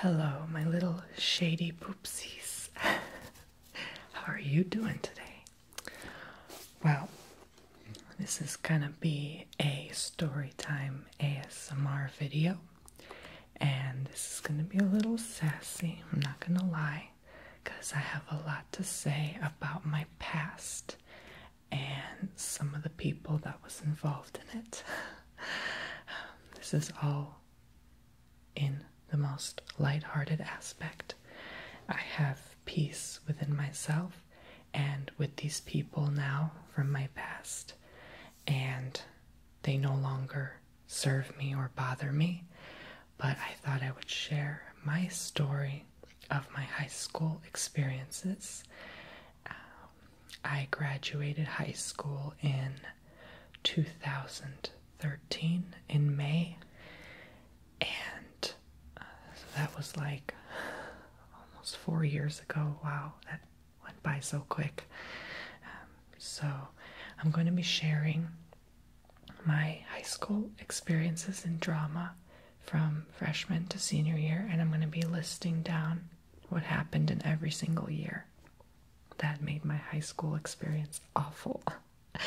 Hello, my little shady poopsies. How are you doing today? Well, this is gonna be a story time ASMR video, and this is going to be a little sassy, I'm not going to lie, because I have a lot to say about my past and some of the people that was involved in it. this is all in the most light-hearted aspect. I have peace within myself and with these people now from my past and they no longer serve me or bother me, but I thought I would share my story of my high school experiences. I graduated high school in 2013 in May, and uh, that was like almost four years ago. Wow, went by so quick. Um, so, I'm going to be sharing my high school experiences in drama from freshman to senior year, and I'm going to be listing down what happened in every single year that made my high school experience awful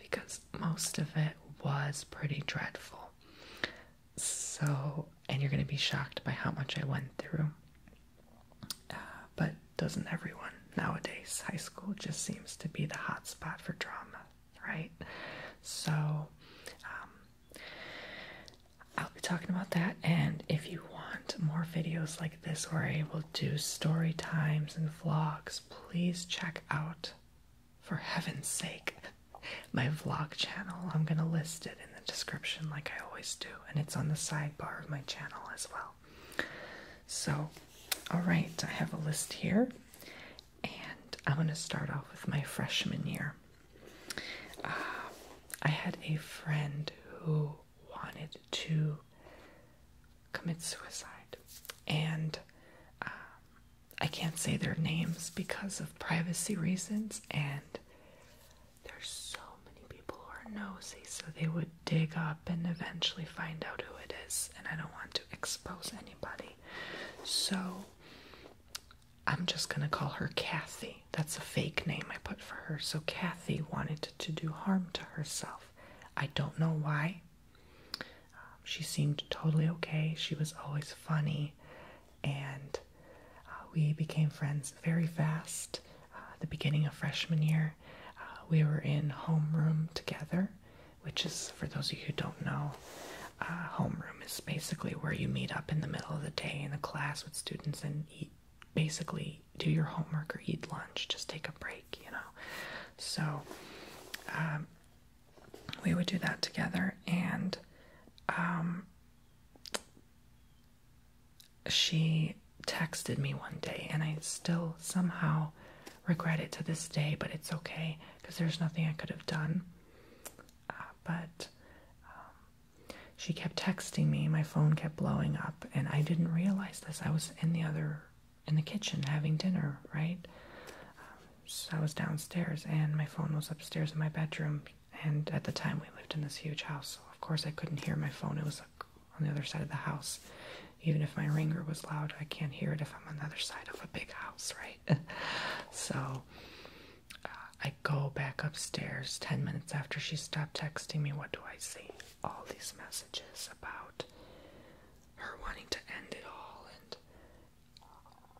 because most of it was pretty dreadful. So, and you're going to be shocked by how much I went through. Uh, but doesn't everyone nowadays? High school just seems to be the hot spot for drama, right? So, um, I'll be talking about that. And if you want more videos like this where I will do story times and vlogs, please check out, for heaven's sake, my vlog channel. I'm going to list it in the description, like I always do, and it's on the sidebar of my channel as well. So, all right, I have a list here, and I'm going to start off with my freshman year. Uh, I had a friend who wanted to commit suicide, and um, I can't say their names because of privacy reasons, and there's so many people who are nosy, so they would dig up and eventually find out who it is, and I don't want to expose anybody. So I'm just gonna call her Kathy. That's a fake name I put for her. So Kathy wanted to do harm to herself. I don't know why. Um, she seemed totally okay. She was always funny, and uh, we became friends very fast. Uh, the beginning of freshman year, uh, we were in homeroom together, which is, for those of you who don't know, homeroom is basically where you meet up in the middle of the day in the class with students and eat, basically do your homework or eat lunch, just take a break, you know. So um, we would do that together, and um, she texted me one day, and I still somehow regret it to this day, but it's okay because there's nothing I could have done. Uh, but um, she kept texting me, my phone kept blowing up, and I didn't realize this. I was in the other in the kitchen having dinner, right? Um, I was downstairs, and my phone was upstairs in my bedroom and at the time, we lived in this huge house, so of course I couldn't hear my phone. It was on the other side of the house. Even if my ringer was loud, I can't hear it if I'm on the other side of a big house, right? so uh, I go back upstairs 10 minutes after she stopped texting me. What do I see? All these messages about her wanting to end it all, and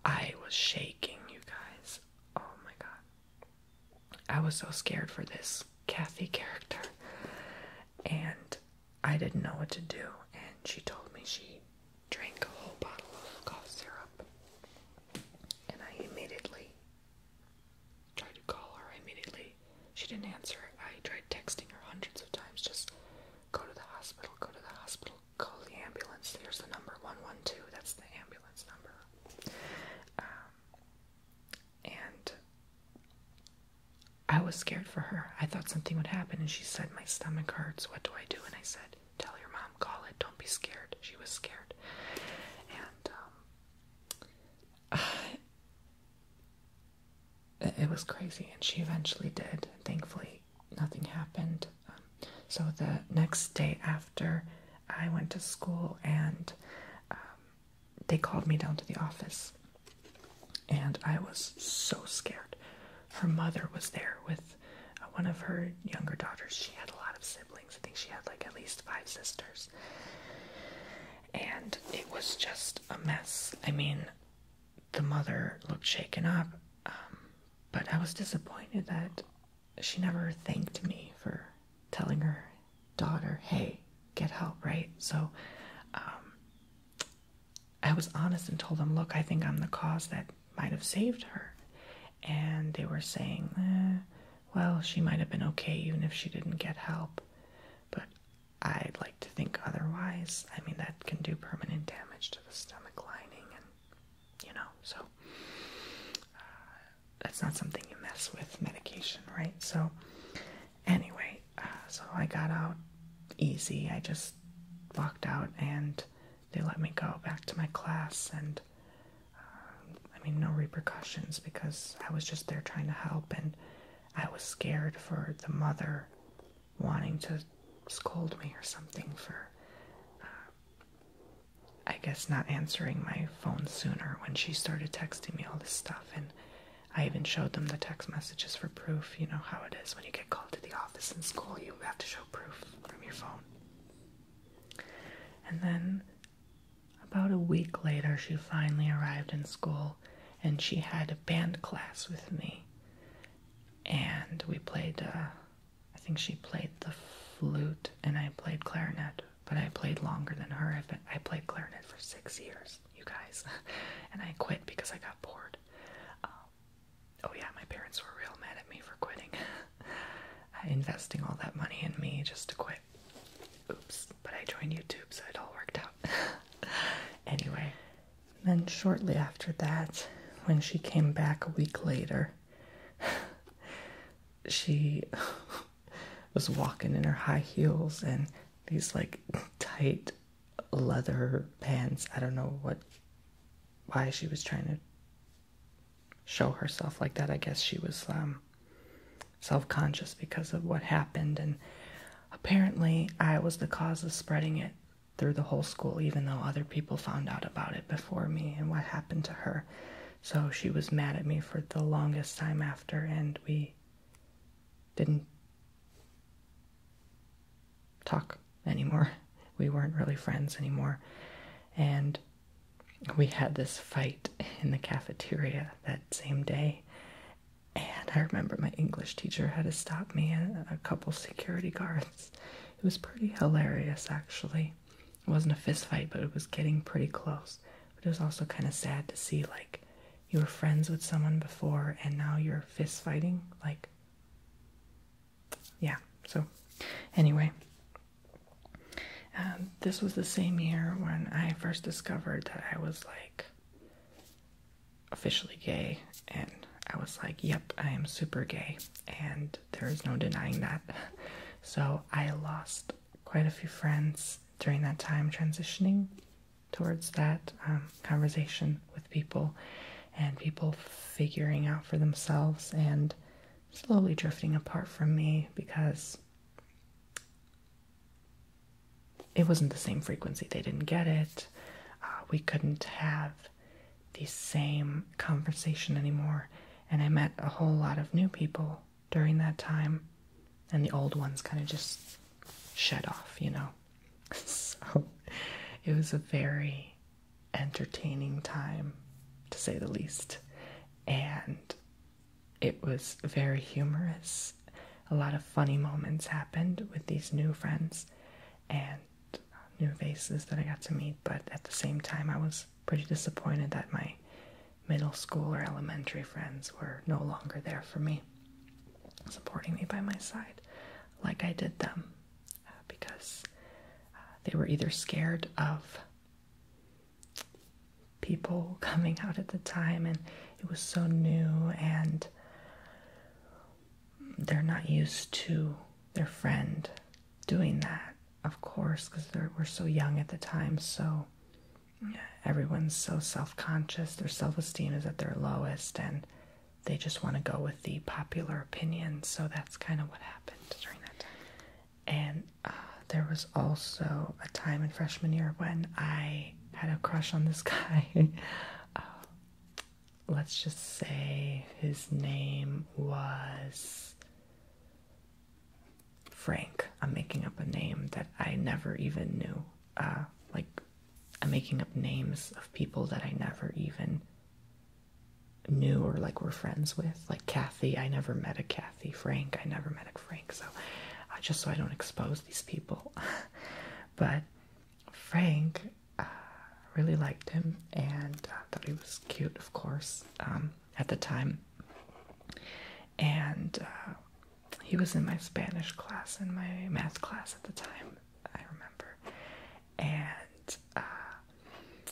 I was shaking, you guys. Oh my god. I was so scared for this Kathy character, and I didn't know what to do. And she told me she drank a whole bottle of cough syrup, and I immediately tried to call her. Immediately, she didn't answer. I tried texting her hundreds of times, just go to the hospital, go to the hospital, call the ambulance. There's the number 112. That's the ambulance number. Um, and I was scared for her. I thought something would happen, and she said, My stomach hurts. What do I do? And I said, Tell your mom, call it. Don't be scared. She was scared. And um, it was crazy, and she eventually did. Thankfully, nothing happened. Um, so the next day after I went to school and um, they called me down to the office. And I was so scared. Her mother was there with uh, one of her younger daughters. She had a lot of siblings. I think she had like at least five sisters. And it was just a mess. I mean, the mother looked shaken up, um, but I was disappointed that she never thanked me for telling her daughter, hey, get help, right? So um, I was honest and told them, look, I think I'm the cause that might have saved her. And they were saying, eh, well, she might have been okay even if she didn't get help. But I'd like to think otherwise. I mean, that can do permanent damage to the stomach lining, and you know, so uh, that's not something you mess with medication, right? So, anyway, uh, so I got out easy. I just walked out and they let me go back to my class. And uh, I mean, no repercussions because I was just there trying to help. And I was scared for the mother wanting to scold me or something for. I guess not answering my phone sooner when she started texting me all this stuff and I even showed them the text messages for proof. You know how it is when you get called to the office in school, you have to show proof from your phone. And then about a week later, she finally arrived in school and she had a band class with me. And we played, uh, I think she played the flute and I played clarinet but I played longer than her. i played clarinet for six years, you guys, and I quit because I got bored. Um, oh yeah, my parents were real mad at me for quitting, uh, investing all that money in me just to quit. Oops, but I joined YouTube, so it all worked out. anyway, then shortly after that, when she came back a week later, she was walking in her high heels and these like tight leather pants. I don't know what why she was trying to show herself like that. I guess she was um, self-conscious because of what happened and apparently I was the cause of spreading it through the whole school even though other people found out about it before me and what happened to her. So she was mad at me for the longest time after, and we didn't talk anymore. We weren't really friends anymore. And we had this fight in the cafeteria that same day. And I remember my English teacher had to stop me and a couple security guards. It was pretty hilarious, actually. It wasn't a fist fight, but it was getting pretty close. But it was also kind of sad to see like you were friends with someone before and now you're fist fighting. Like, yeah. So, anyway, um, this was the same year when I first discovered that I was like officially gay, and I was like, yep, I am super gay and there is no denying that. So I lost quite a few friends during that time transitioning towards that um, conversation with people and people figuring out for themselves and slowly drifting apart from me because it wasn't the same frequency. They didn't get it. Uh, we couldn't have the same conversation anymore and I met a whole lot of new people during that time, and the old ones kind of just shut off, you know. so it was a very entertaining time, to say the least, and it was very humorous. A lot of funny moments happened with these new friends and new faces that I got to meet, but at the same time, I was pretty disappointed that my middle school or elementary friends were no longer there for me, supporting me by my side like I did them uh, because uh, they were either scared of people coming out at the time and it was so new and they're not used to their friend doing that of course, because we're so young at the time. So everyone's so self conscious. Their self esteem is at their lowest, and they just want to go with the popular opinion. So that's kind of what happened during that time. And uh, there was also a time in freshman year when I had a crush on this guy. Uh, let's just say his name was Frank. I'm making up a name that I never even knew. Uh, like, I'm making up names of people that I never even knew or like were friends with. Like Kathy, I never met a Kathy. Frank, I never met a Frank. So, uh, just so I don't expose these people. but Frank, uh, really liked him and uh, thought he was cute, of course. Um, at the time. And uh, he was in my Spanish class and my math class at the time, I remember. And uh,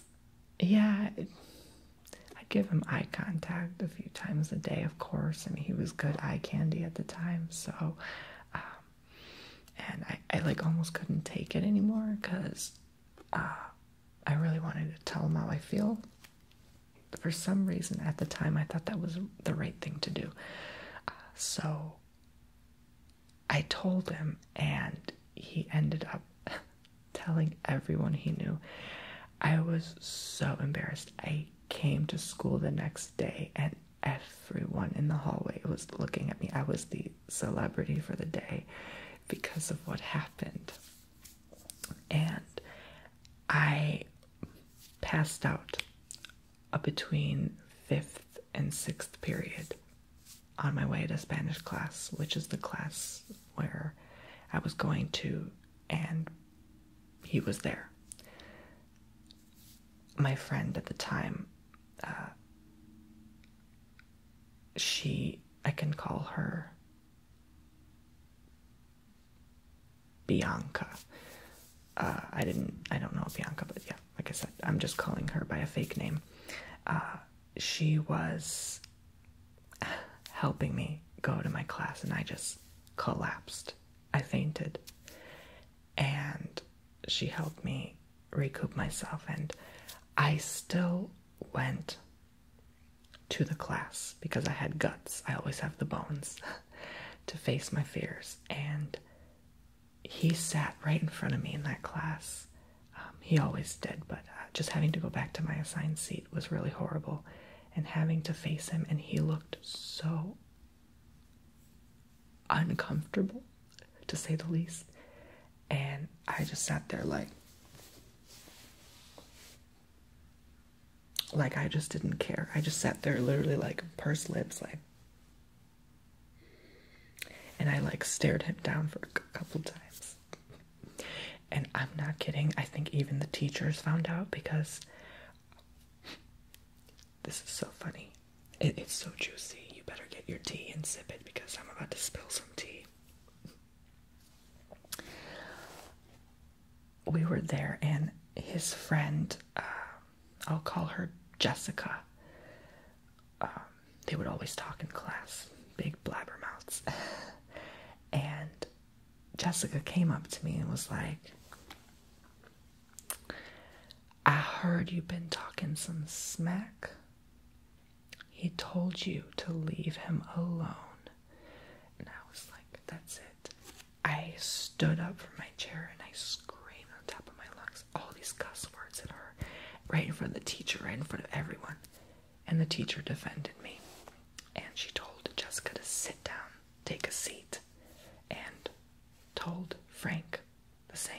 yeah, I give him eye contact a few times a day, of course. I mean, he was good eye candy at the time, so. Um, and I, I like almost couldn't take it anymore because uh, I really wanted to tell him how I feel. For some reason, at the time, I thought that was the right thing to do. Uh, so I told him, and he ended up telling everyone he knew. I was so embarrassed. I came to school the next day, and everyone in the hallway was looking at me. I was the celebrity for the day because of what happened and I passed out between fifth and sixth period on my way to Spanish class, which is the class where I was going to, and he was there. My friend at the time, uh, she I can call her Bianca. Uh, I didn't I don't know Bianca, but yeah, like I said, I'm just calling her by a fake name. Uh, she was helping me go to my class and I just collapsed. I fainted. And she helped me recoup myself and I still went to the class because I had guts. I always have the bones to face my fears. And he sat right in front of me in that class. Um, he always did, but uh, just having to go back to my assigned seat was really horrible. And having to face him, and he looked so uncomfortable, to say the least. And I just sat there like, like I just didn't care. I just sat there literally like pursed lips, like, and I like stared him down for a couple times. And I'm not kidding. I think even the teachers found out because this is so funny. it's so juicy. You better get your tea and sip it because I'm about to spill some tea we were there, and his friend, uh, I'll call her Jessica. Um, they would always talk in class, big blabber mouths. and Jessica came up to me and was like, I heard you've been talking some smack he told you to leave him alone. And I was like, that's it. I stood up from my chair and I screamed on top of my lungs all these cuss words at her, right in front of the teacher, right in front of everyone. And the teacher defended me. And she told Jessica to sit down, take a seat, and told Frank the same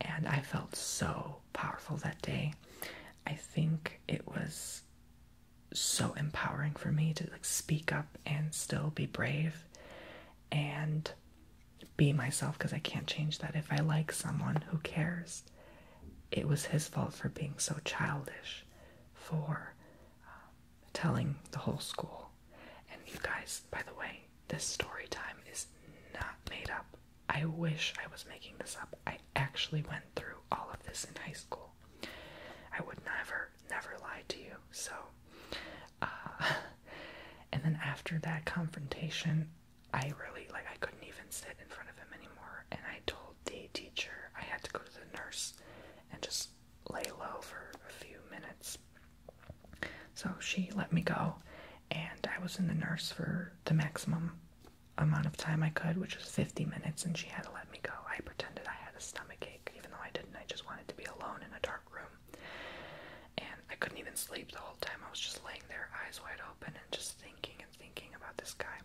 and I felt so powerful that day. I think it was so empowering for me to like speak up and still be brave and be myself because I can't change that. If I like someone, who cares? It was his fault for being so childish, for um, telling the whole school. And you guys, by the way, this story time is not made up. I wish I was making this up. I actually went through all of this in high school. I would never, never lie to you. So, uh, and then after that confrontation, I really, like, I couldn't even sit in front of him anymore. And I told the teacher I had to go to the nurse and just lay low for a few minutes. So she let me go, and I was in the nurse for the maximum amount of time I could, which was 50 minutes, and she had to let me go. I pretended I had a stomach ache, even though I didn't. I just wanted to be alone in a dark room. And I couldn't even sleep the whole time. I was just laying there, eyes wide open, and just thinking and thinking about this guy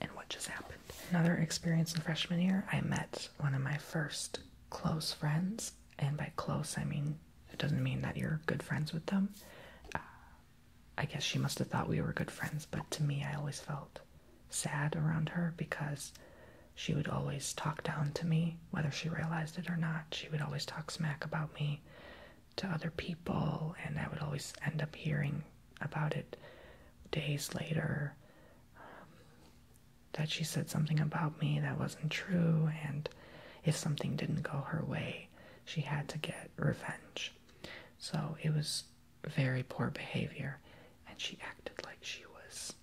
and what just happened. Another experience in freshman year, I met one of my first close friends. And by close, I mean, it doesn't mean that you're good friends with them. Uh, I guess she must have thought we were good friends, but to me, I always felt sad around her because she would always talk down to me, whether she realized it or not. She would always talk smack about me to other people, and I would always end up hearing about it days later um, that she said something about me that wasn't true, and if something didn't go her way, she had to get revenge. So it was very poor behavior, and she acted like she was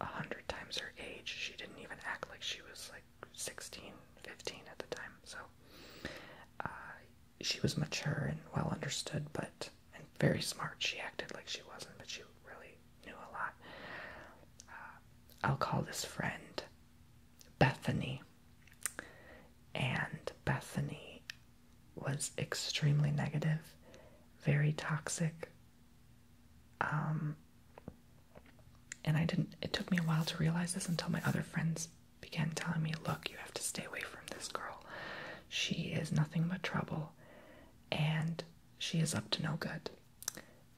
a hundred times her age. She didn't even act like she was like 16, 15 at the time. So uh, she was mature and well understood, but and very smart. She acted like she wasn't, but she really knew a lot. Uh, I'll call this friend Bethany. And Bethany was extremely negative, very toxic. Um, and I didn't, it took me a while to realize this until my other friends began telling me, look, you have to stay away from this girl. She is nothing but trouble and she is up to no good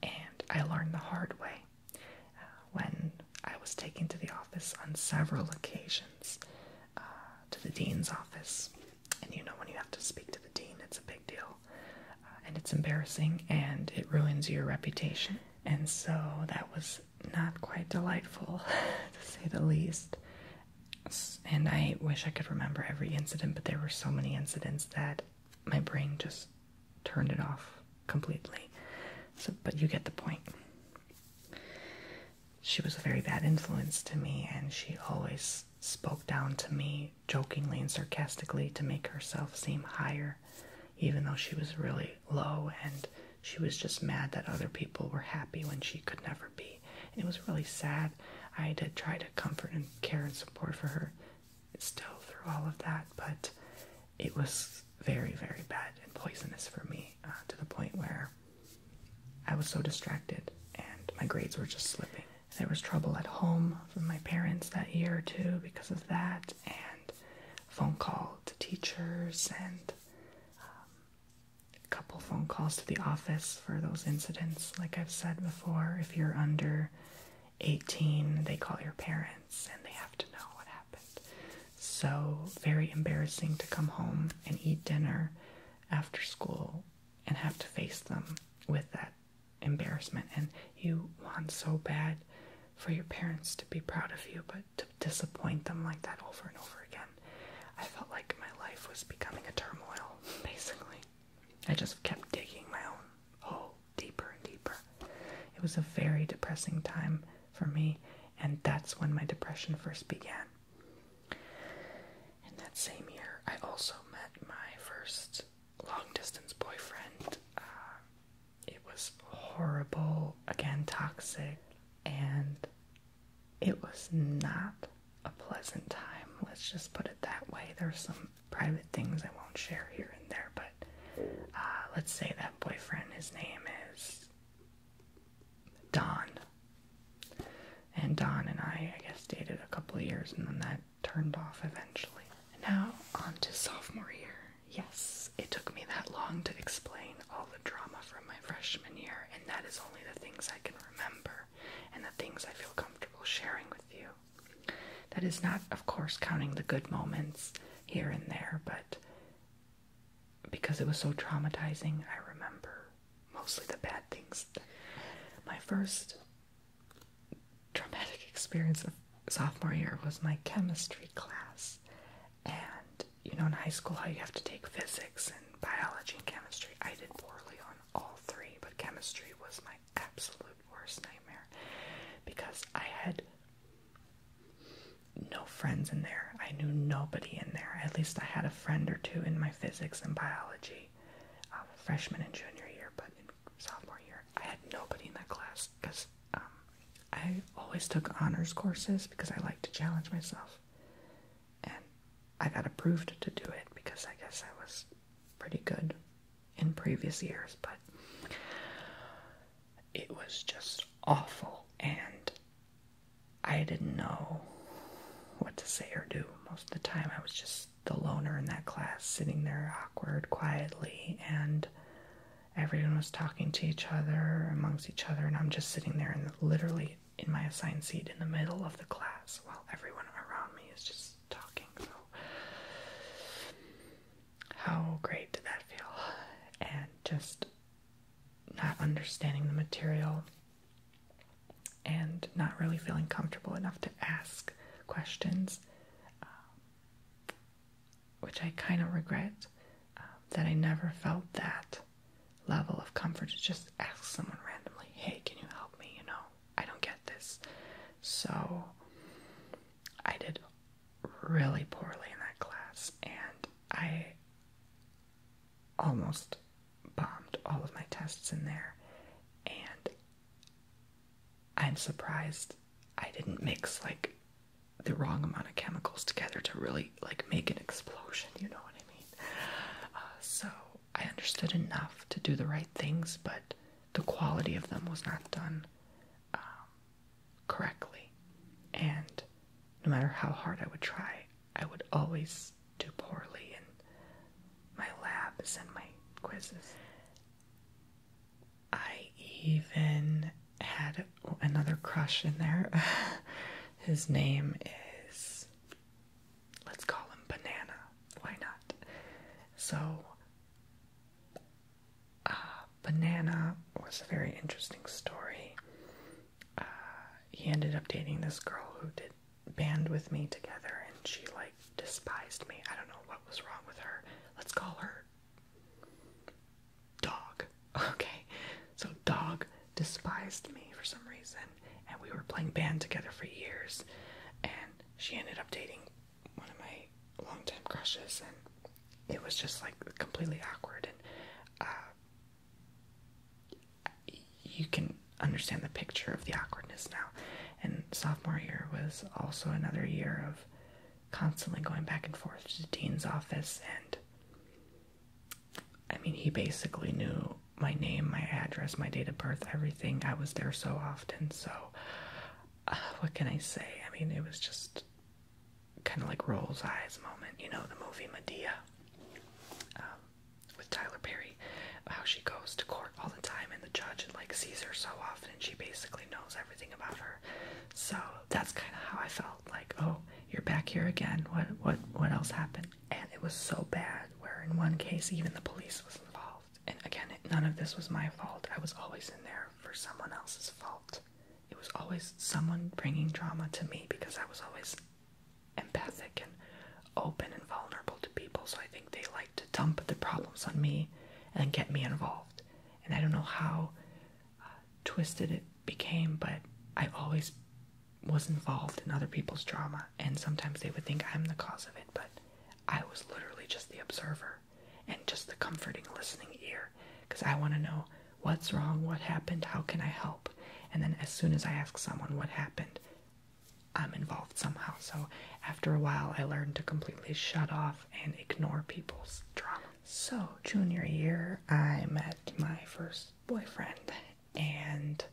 and I learned the hard way. Uh, when I was taken to the office on several occasions, uh, to the dean's office, and you know, when you have to speak to the dean, it's a big deal, uh, and it's embarrassing and it ruins your reputation. And so that was not quite delightful, to say the least. And I wish I could remember every incident, but there were so many incidents that my brain just turned it off completely. So, but you get the point. She was a very bad influence to me, and she always spoke down to me jokingly and sarcastically to make herself seem higher, even though she was really low and she was just mad that other people were happy when she could never be. it was really sad. I did try to comfort and care and support for her. It's still through all of that, but it was very, very bad and poisonous for me uh, to the point where I was so distracted and my grades were just slipping. There was trouble at home from my parents that year too because of that, and phone call to teachers and um, a couple phone calls to the office for those incidents. Like I've said before, if you're under 18, they call your parents and they have to know what happened. So, very embarrassing to come home and eat dinner after school and have to face them with that embarrassment. And you want so bad for your parents to be proud of you, but to disappoint them like that over and over again. I felt like my life was becoming a turmoil, basically. I just kept digging my own hole deeper and deeper. It was a very depressing time for me, and that's when my depression first began. In that same year, I also met my first long distance boyfriend. Uh, it was horrible, again, toxic, and it was not a pleasant time. Let's just put it that way. There's some private things I won't share here and there, but uh, let's say that boyfriend, his name is Don. And Don and I, I guess, dated a couple of years and then that turned off eventually. now, on to sophomore year. Yes, it took me that long to explain all the drama from my freshman year, and that is only the things I can remember and the things I feel comfortable sharing with you. That is not, of course, counting the good moments here and there, but because it was so traumatizing, I remember mostly the bad things. My first traumatic experience of sophomore year was my chemistry class. And you know, in high school, how you have to take physics and biology and chemistry. I did poorly on all three, but chemistry was my absolute worst nightmare because I had no friends in there. I knew nobody in there. At least I had a friend or two in my physics and biology, um, freshman and junior year, but in sophomore year, I had nobody in that class because um, I always took honors courses because I like to challenge myself. And I got approved to do it because I guess I was pretty good in previous years, but it was just awful and I didn't know what to say or do. Most of the time I was just the loner in that class sitting there awkward quietly and everyone was talking to each other amongst each other and I'm just sitting there and literally in my assigned seat in the middle of the class while everyone around me is just talking. So how great did that feel? And just not understanding the material and not really feeling comfortable enough to ask questions, um, which I kind of regret um, that I never felt that level of comfort to just ask someone randomly, hey, can you help me? You know, I don't get this. So I did really poorly in that class, and I almost bombed all of my tests in there, and I'm surprised I didn't mix like the wrong amount of chemicals together to really like make an explosion, you know what I mean? Uh, so I understood enough to do the right things, but the quality of them was not done um, correctly. And no matter how hard I would try, I would always do poorly in my labs and my quizzes. I even had another crush in there. His name is. Let's call him Banana. Why not? So uh, Banana was a very interesting story. Uh, he ended up dating this girl who did band with me together, and she like despised me. I don't know what was wrong with her. Let's call her Dog. Okay, so Dog despised me for some reason, and we were playing band together for years. And she ended up dating one of my long-time crushes, and it was just like completely awkward. And uh, you can understand the picture of the awkwardness now. And sophomore year was also another year of constantly going back and forth to dean's office, and I mean, he basically knew my name, my address, my date of birth, everything. I was there so often, so uh, what can I say? I mean, it was just kind of like Roll's Eyes moment, you know, the movie Medea um, with Tyler Perry, how she goes to court all the time and the judge like sees her so often and she basically knows everything about her. So that's kind of how I felt like, oh, you're back here again. What what what else happened? And it was so bad where in one case even the police was involved. And again, none of this was my fault. I was always in there for someone else's fault. It was always someone bringing drama to me because I was always empathic and open and vulnerable to people. So I think they like to dump the problems on me and get me involved. And I don't know how uh, twisted it became, but I always was involved in other people's drama. And sometimes they would think I'm the cause of it, but I was literally just the observer and just the comforting listening ear because I want to know what's wrong, what happened, how can I help. And then as soon as I ask someone what happened, I'm involved somehow. So after a while, I learned to completely shut off and ignore people's drama. So, junior year, I met my first boyfriend, and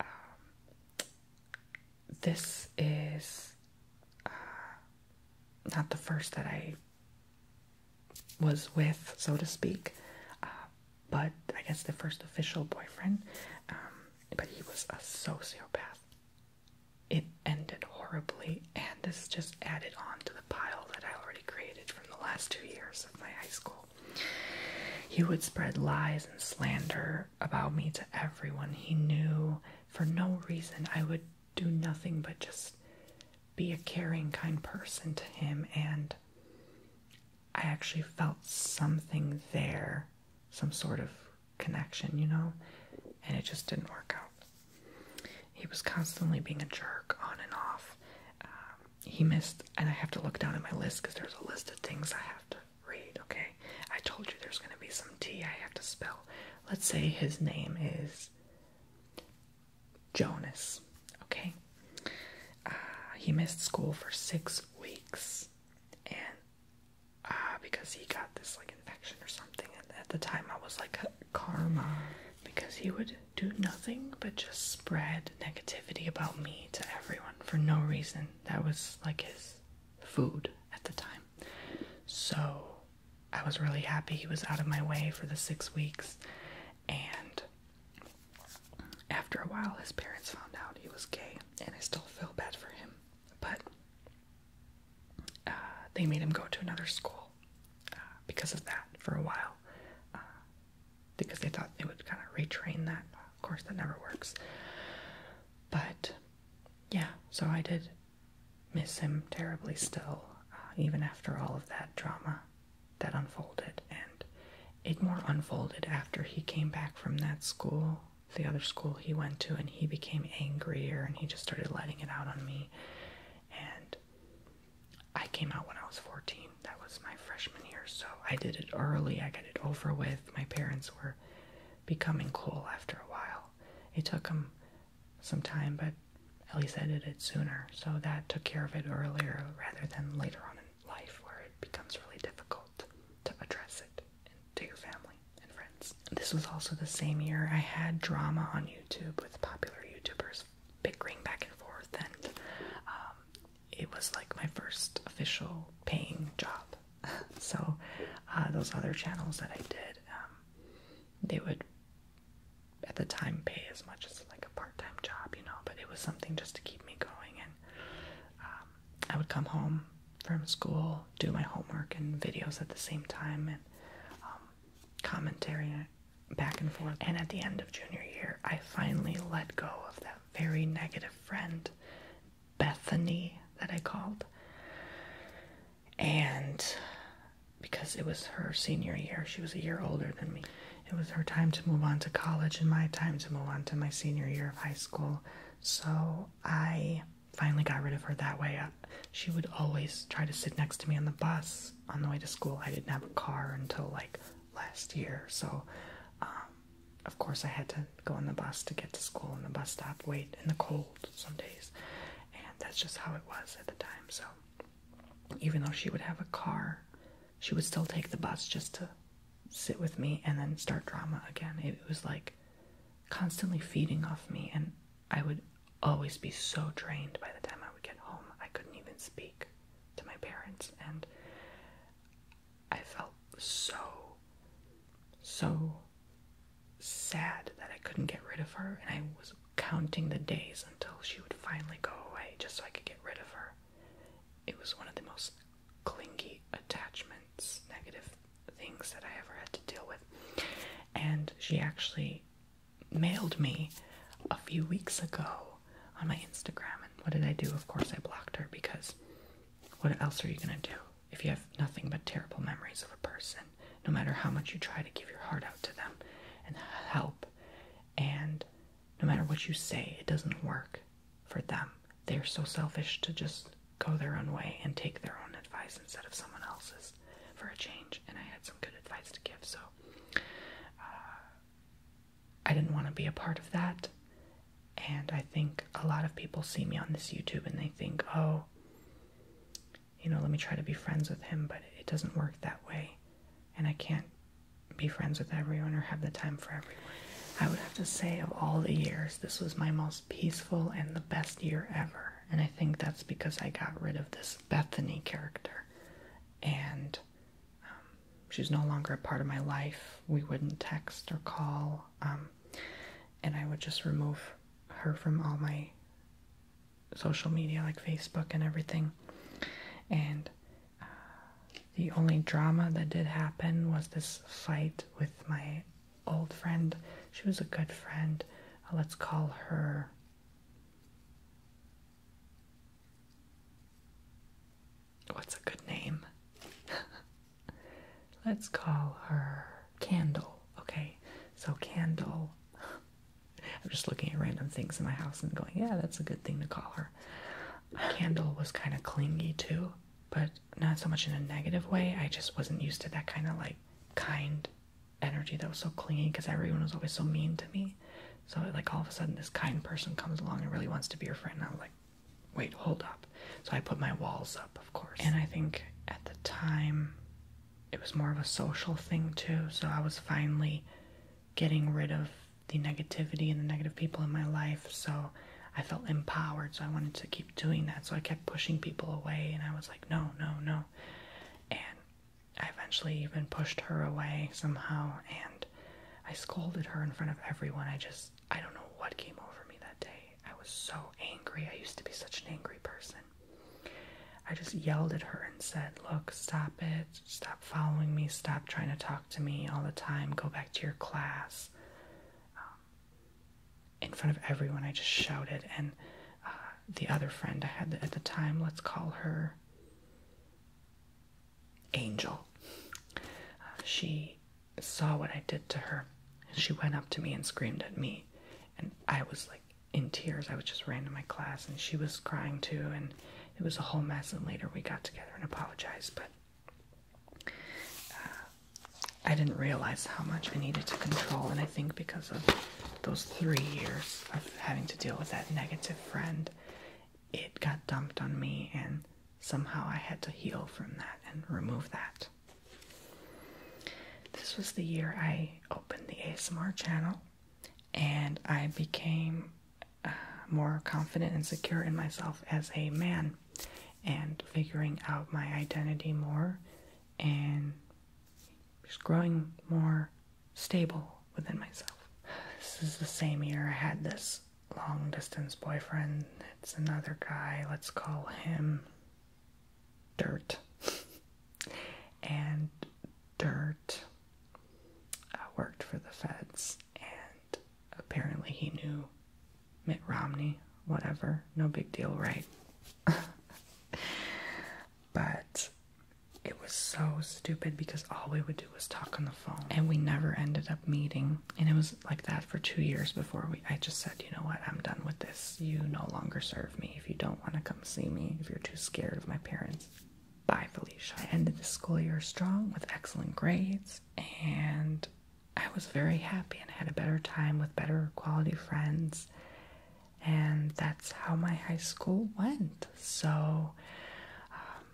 um, this is uh, not the first that I was with, so to speak, uh, but I guess the first official boyfriend. Um, but he was a sociopath. It ended horribly, and this just added on to the pile that I already created from the last two years of my high school. He would spread lies and slander about me to everyone he knew for no reason. I would do nothing but just be a caring, kind person to him. And I actually felt something there, some sort of connection, you know? And it just didn't work out. He was constantly being a jerk on and off. Um, he missed, and I have to look down at my list because there's a list of things I have to read, okay? I told you there's going to be some T I have to spell let's say his name is Jonas. Okay, uh, he missed school for six weeks, and uh, because he got this like infection or something. And at the time, I was like karma because he would do nothing but just spread negativity about me to everyone for no reason. That was like his food at the time. So I was really happy he was out of my way for the six weeks. And after a while, his parents found out he was gay, and I still feel bad for him. But uh, they made him go to another school uh, because of that for a while, uh, because they thought they would kind of retrain that. Of course, that never works. But yeah, so I did miss him terribly still, uh, even after all of that drama that unfolded. And it more unfolded after he came back from that school, the other school he went to, and he became angrier and he just started letting it out on me. And I came out when I was 14. That was my freshman year. So I did it early. I got it over with. My parents were becoming cool after a while. It took him sometime, but at least I did it sooner. So that took care of it earlier rather than later on in life where it becomes really difficult to address it to your family and friends. This was also the same year I had drama on YouTube with popular YouTubers bickering back and forth, and um, it was like my first official paying job so uh, those other channels that I did, um, they would at the time pay as much as like a part-time job, you know, but it was something just to keep me going. And um, I would come home from school, do my homework and videos at the same time, and um, commentary back and forth. And at the end of junior year, I finally let go of that very negative friend, Bethany, that I called. And because it was her senior year, she was a year older than me. It was her time to move on to college and my time to move on to my senior year of high school. So I finally got rid of her that way. Uh, she would always try to sit next to me on the bus on the way to school. I didn't have a car until like last year. So, um, of course, I had to go on the bus to get to school, and the bus stop, wait in the cold some days, and that's just how it was at the time. So, even though she would have a car, she would still take the bus just to sit with me and then start drama again. It was like constantly feeding off me, and I would always be so drained by the time I would get home. I couldn't even speak to my parents, and I felt so, so sad that I couldn't get rid of her, and I was counting the days until she would finally go away just so I could get rid of her. It was one of the most clingy attachments, negative things that I ever had to deal with. And she actually mailed me a few weeks ago on my Instagram. And what did I do? Of course, I blocked her because what else are you going to do? If you have nothing but terrible memories of a person, no matter how much you try to give your heart out to them and help, and no matter what you say, it doesn't work for them. They're so selfish to just go their own way and take their own advice instead of someone else's for a change. And I had some good advice to give, so uh, I didn't want to be a part of that. And I think a lot of people see me on this YouTube and they think, oh, you know, let me try to be friends with him, but it doesn't work that way. And I can't be friends with everyone or have the time for everyone. I would have to say, of all the years, this was my most peaceful and the best year ever. And I think that's because I got rid of this Bethany character. And um, she's no longer a part of my life. We wouldn't text or call. Um, and I would just remove her from all my social media like Facebook and everything. And uh, the only drama that did happen was this fight with my old friend. She was a good friend. Uh, let's call her. What's a good name? let's call her Candle. Okay, so Candle. I'm just looking at random things in my house and going, yeah, that's a good thing to call her. Candle was kind of clingy too, but not so much in a negative way. I just wasn't used to that kind of like kind energy that was so clingy because everyone was always so mean to me. So, like, all of a sudden, this kind person comes along and really wants to be your friend. And I'm like, wait, hold up. So, I put my walls up. And I think at the time it was more of a social thing too, so I was finally getting rid of the negativity and the negative people in my life, so I felt empowered, so I wanted to keep doing that. So I kept pushing people away, and I was like, no, no, no. And I eventually even pushed her away somehow, and I scolded her in front of everyone. I just, I don't know what came over me that day. I was so angry. I used to be such an angry person. I just yelled at her and said, Look, stop it. Stop following me. Stop trying to talk to me all the time. Go back to your class. Um, in front of everyone, I just shouted. And uh, the other friend I had at the time, let's call her Angel. Uh, she saw what I did to her, and she went up to me and screamed at me, and I was like in tears. I was just ran to my class, and she was crying too, and it was a whole mess. And later we got together and apologized, but uh, I didn't realize how much I needed to control, and I think because of those three years of having to deal with that negative friend, it got dumped on me, and somehow I had to heal from that and remove that. This was the year I opened the ASMR channel and I became uh, more confident and secure in myself as a man and figuring out my identity more and just growing more stable within myself. This is the same year I had this long distance boyfriend. It's another guy, let's call him dirt and dirt uh, worked for the feds and apparently he knew Mitt Romney whatever no big deal right but it was so stupid because all we would do was talk on the phone and we never ended up meeting and it was like that for two years before we. I just said, you know what, I'm done with this. You no longer serve me. If you don't want to come see me, if you're too scared of my parents, bye, Felicia. I ended the school year strong with excellent grades, and I was very happy and had a better time with better quality friends. And that's how my high school went. So um,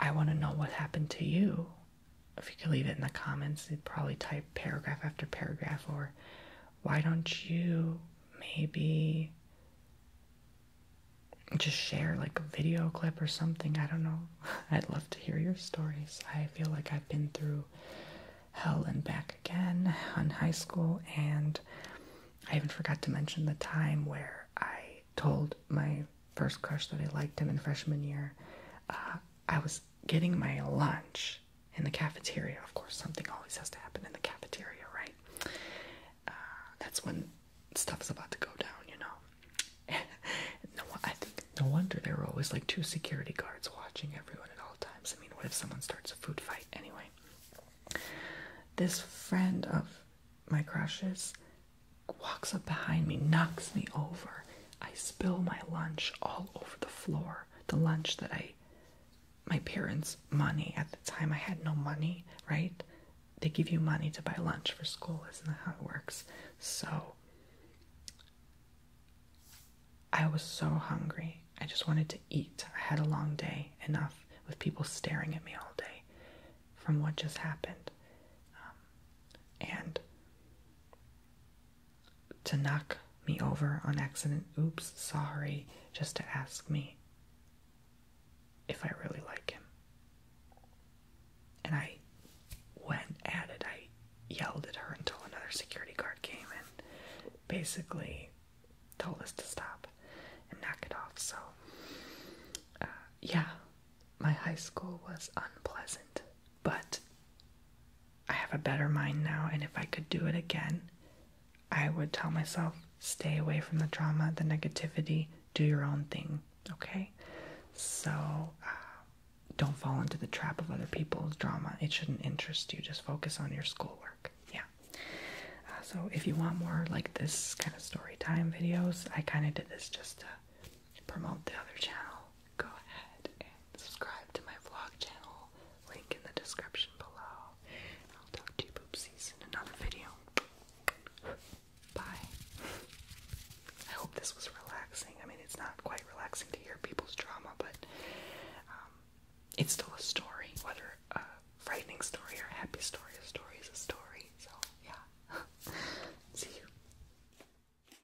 I want to know what happened to you if you could leave it in the comments, you would probably type paragraph after paragraph, or why don't you maybe just share like a video clip or something? I don't know. I'd love to hear your stories. I feel like I've been through hell and back again on high school, and I even forgot to mention the time where I told my first crush that I liked him in freshman year. Uh, I was getting my lunch in the cafeteria. Of course, something always has to happen in the cafeteria, right? Uh, that's when stuff's about to go down, you know. no, I think no wonder there were always like two security guards watching everyone at all times. I mean, what if someone starts a food fight anyway? This friend of my crushes walks up behind me, knocks me over, I spill my lunch all over the floor. The lunch that I, my parents' money at the time, I had no money, right? They give you money to buy lunch for school, isn't that how it works? So I was so hungry. I just wanted to eat. I had a long day, enough with people staring at me all day from what just happened. Um, and to knock me over on accident. Oops, sorry, just to ask me if I really like him. And I went at it. I yelled at her until another security guard came and basically told us to stop and knock it off. So, uh, yeah, my high school was unpleasant. But I have a better mind now, and if I could do it again, I would tell myself stay away from the drama, the negativity, do your own thing, okay? So uh, don't fall into the trap of other people's drama. It shouldn't interest you. Just focus on your schoolwork. Yeah. Uh, so if you want more like this kind of story time videos, I kind of did this just to promote the other channel, go ahead and subscribe to my vlog channel. Link in the description below. I'll talk to you poopsies in another video. Bye. I hope this was relaxing. I mean, it's not quite relaxing to hear people's drama, but um, it's still a story. Whether a frightening story or a happy story, a story is a story. So, yeah. See you.